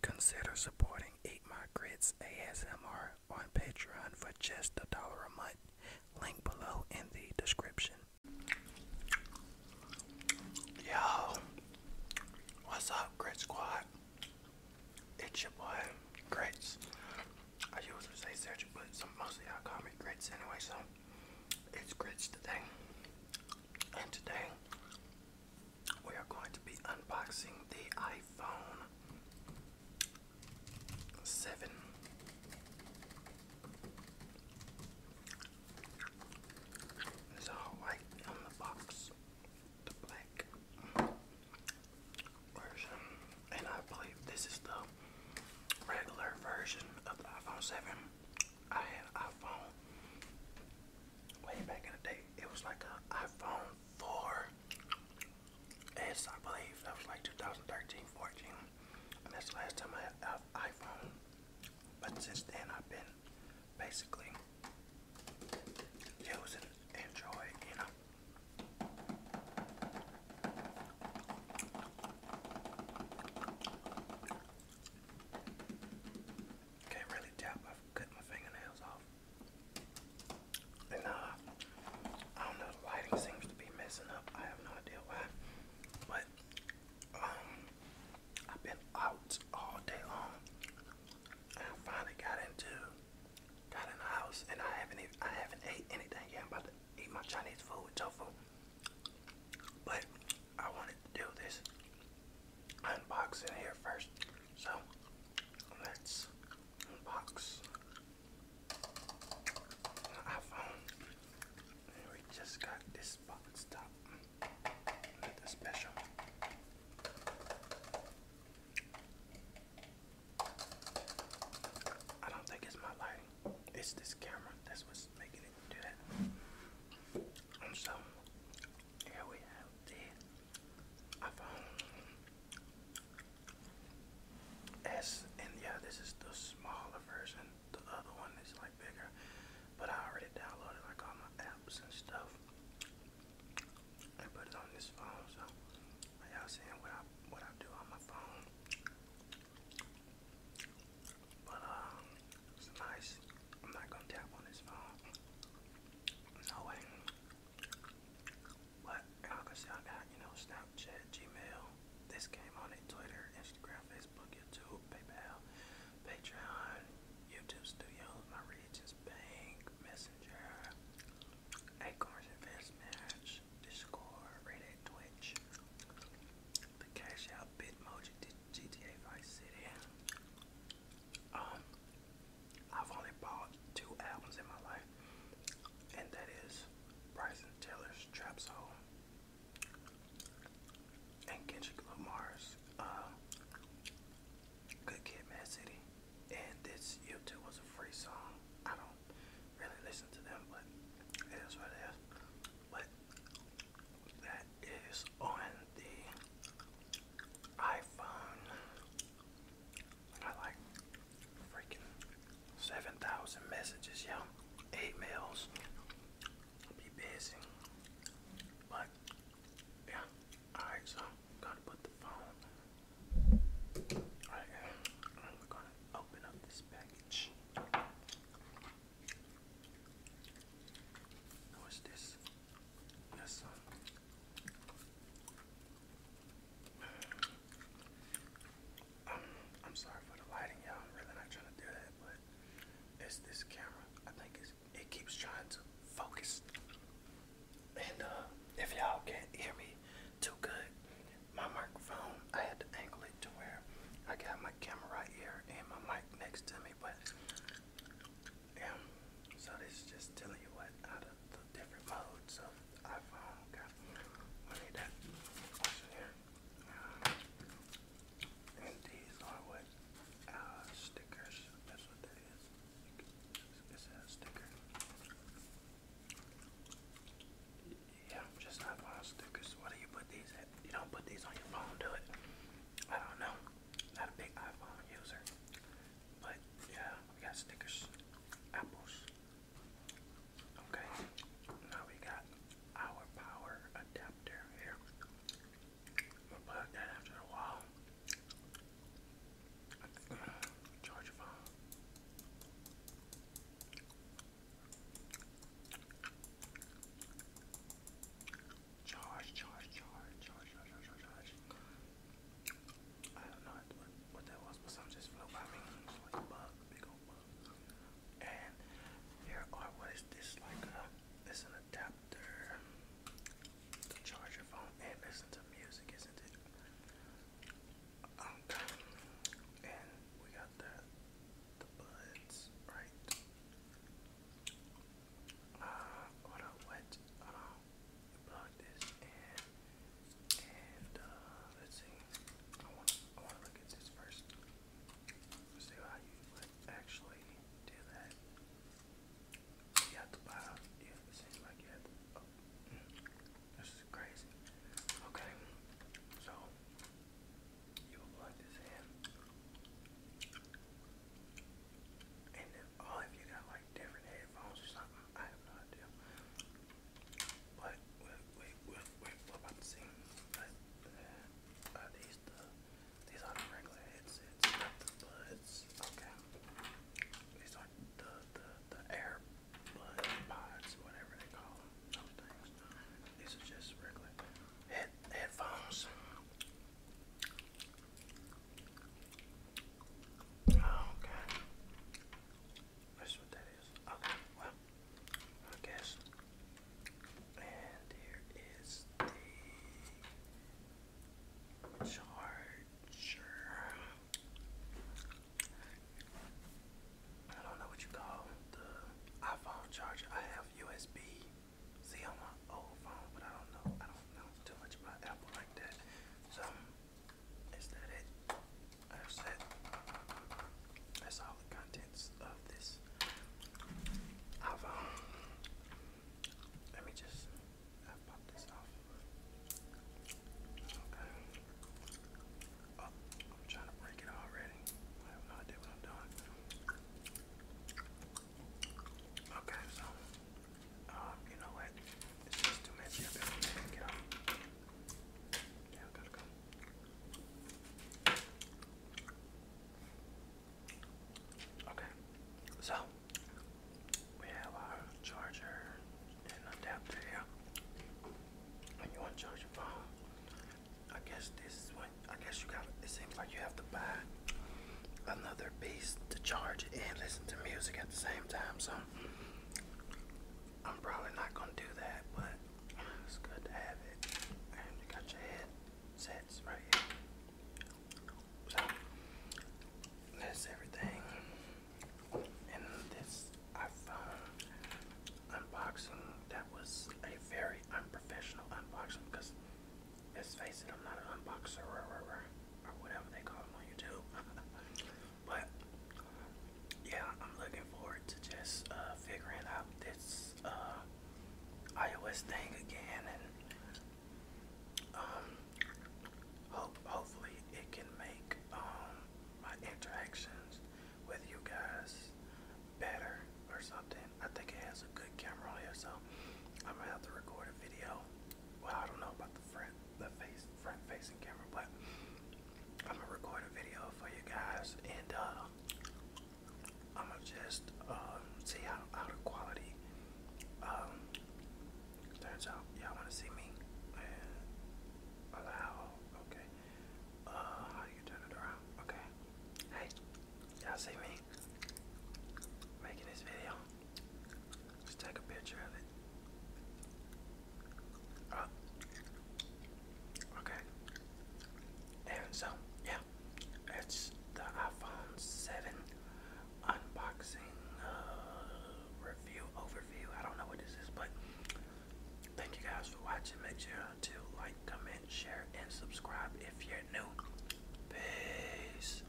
Consider supporting Eat My Grits ASMR on Patreon for just a dollar a month. Link below in the description. Yo, what's up, Grit Squad? It's your boy, Grits. I usually say Sergio, but some, mostly y'all call me Grits anyway, so it's Grits today. And today, we are going to be unboxing the iPhone 7. It's all white on the box, the black version, and I believe this is the regular version of the iPhone 7. I had iPhone way back in the day. It was like an iPhone 4 S, I believe. That was like 2013, 14. And that's the last time I had an iPhone. But since then, I've been basically using enjoy, you know. Can't really tap. I've cut my fingernails off. And uh, I don't know. The lighting seems to be messing up. I have no idea why. But um, I've been out all day long. And I finally got into got in the house and I haven't even I haven't ate anything yet. I'm about to eat my Chinese food with tofu. But I wanted to do this unboxing here first. So let's unbox iPhone we just got this box top with special. I don't think it's my lighting. It's this camera. That's what's making it do that. so here we have the iPhone S, and yeah, this is the smaller version. The other one is like bigger, but I already downloaded like all my apps and stuff. I put it on this phone, so like y'all seeing what I what I do on my phone. But um, it's nice. I'm not gonna tap on this phone. No way. But y'all got you know Snapchat, Gmail. This game on it, Twitter, Instagram, Facebook, YouTube, PayPal, Patreon, YouTube Studio, My Regions Bank, Messenger, Acorns Invest Match, Discord, Reddit, Twitch, the Cash Out, Bitmoji, GTA Vice City. Um, I've only bought two albums in my life, and that is Bryson Taylor's Trap Soul and Kendrick Lamar's um, Good Kid, Mad City. And this YouTube was a free song. I don't really listen to them, But that is on the iPhone. I like freaking 7,000 messages, yo. Eight mails. Be busy. But, yeah. Alright, so gonna put the phone right here. And gonna open up this package. What's this? That's something. I'm, sorry for the lighting, y'all. I'm really not trying to do that, but it's this camera. I think it keeps trying to focus. And uh, if y'all can't hear me too good, my microphone, I had to angle it to where I got my camera right here and my mic next to me, but yeah. So this is just telling you what out of the different modes of iPhone. Okay. I need that. What's here? And these are what uh, stickers. That's what that is. It says sticker. Yeah, I'm just not phone stickers. What do you put these at? You don't put these on your phone, do it. I don't know. Not a big iPhone user. But yeah, we got stickers. Apples. Okay, now we got our power adapter here. i plug that after a while. Charge your phone. Charge, charge, charge, charge, charge, charge, charge. I don't know what, what that was, but something just flew by me. Like a bug, big old bug. And here are what is this like? A, uh, it's an adapter to charge your phone and listen to music, isn't it? Okay. And we got the the buds, right? Uh, what? What? Hold on. Plug this in. Uh, let's see. I want to look at this first. See how you would actually do that. You have to buy. Yeah, it seems like you have this is crazy. Okay, so you plug this in, and then oh, if you got like different headphones or something, I have no idea. What? Wait, wait, wait, wait, what about the scene? What? Uh, these the, these are regular headsets, the buds. Okay. These are the, the, the air bud whatever they call them, those These are just regular head, headphones. Oh, okay. That's what that is. Okay, well, I guess. And here is the charger. I don't know what you call the iPhone charger. I have USB C on my old phone, but I don't know. I don't know too much about Apple like that. So is that it? I've that's all the contents of this. i um, let me just pop this off. Okay. Oh, I'm trying to break it already. I have no idea what I'm doing. Okay, so um, you know what? It's just too messy Get off. Okay, so we have our charger and adapter here. When you want to charge your phone, I guess this is what I guess you got. It seems like you have to buy another piece to charge it and listen to music at the same time. So I'm probably not gonna do that, but it's good to have it. And you got your headsets right here. that's everything in this iPhone unboxing. That was a very unprofessional unboxing because let's face it, I'm not an unboxer or, or whatever they call them on YouTube. But yeah, I'm looking forward to just uh, figuring out this uh, iOS thing again, and um, hope hopefully it can make um, my interactions with you guys better or something. I think it has a good camera on here, so I'm gonna have to record a video well, I don't know about the front, the face, front facing camera, but I'm gonna record a video for you guys, and uh, I'm gonna just um, see how, how the quality um, turns out. Y'all wanna see me? And allow, okay. Uh, how you turn it around? Okay. Hey, y'all see me making this video? Let's take a picture of it. Uh, okay. And so, yeah, it's the iPhone 7 unboxing uh, review overview. I don't know what this is, but thank you guys for watching. Make sure to like, comment, share, and subscribe if you're new. Peace.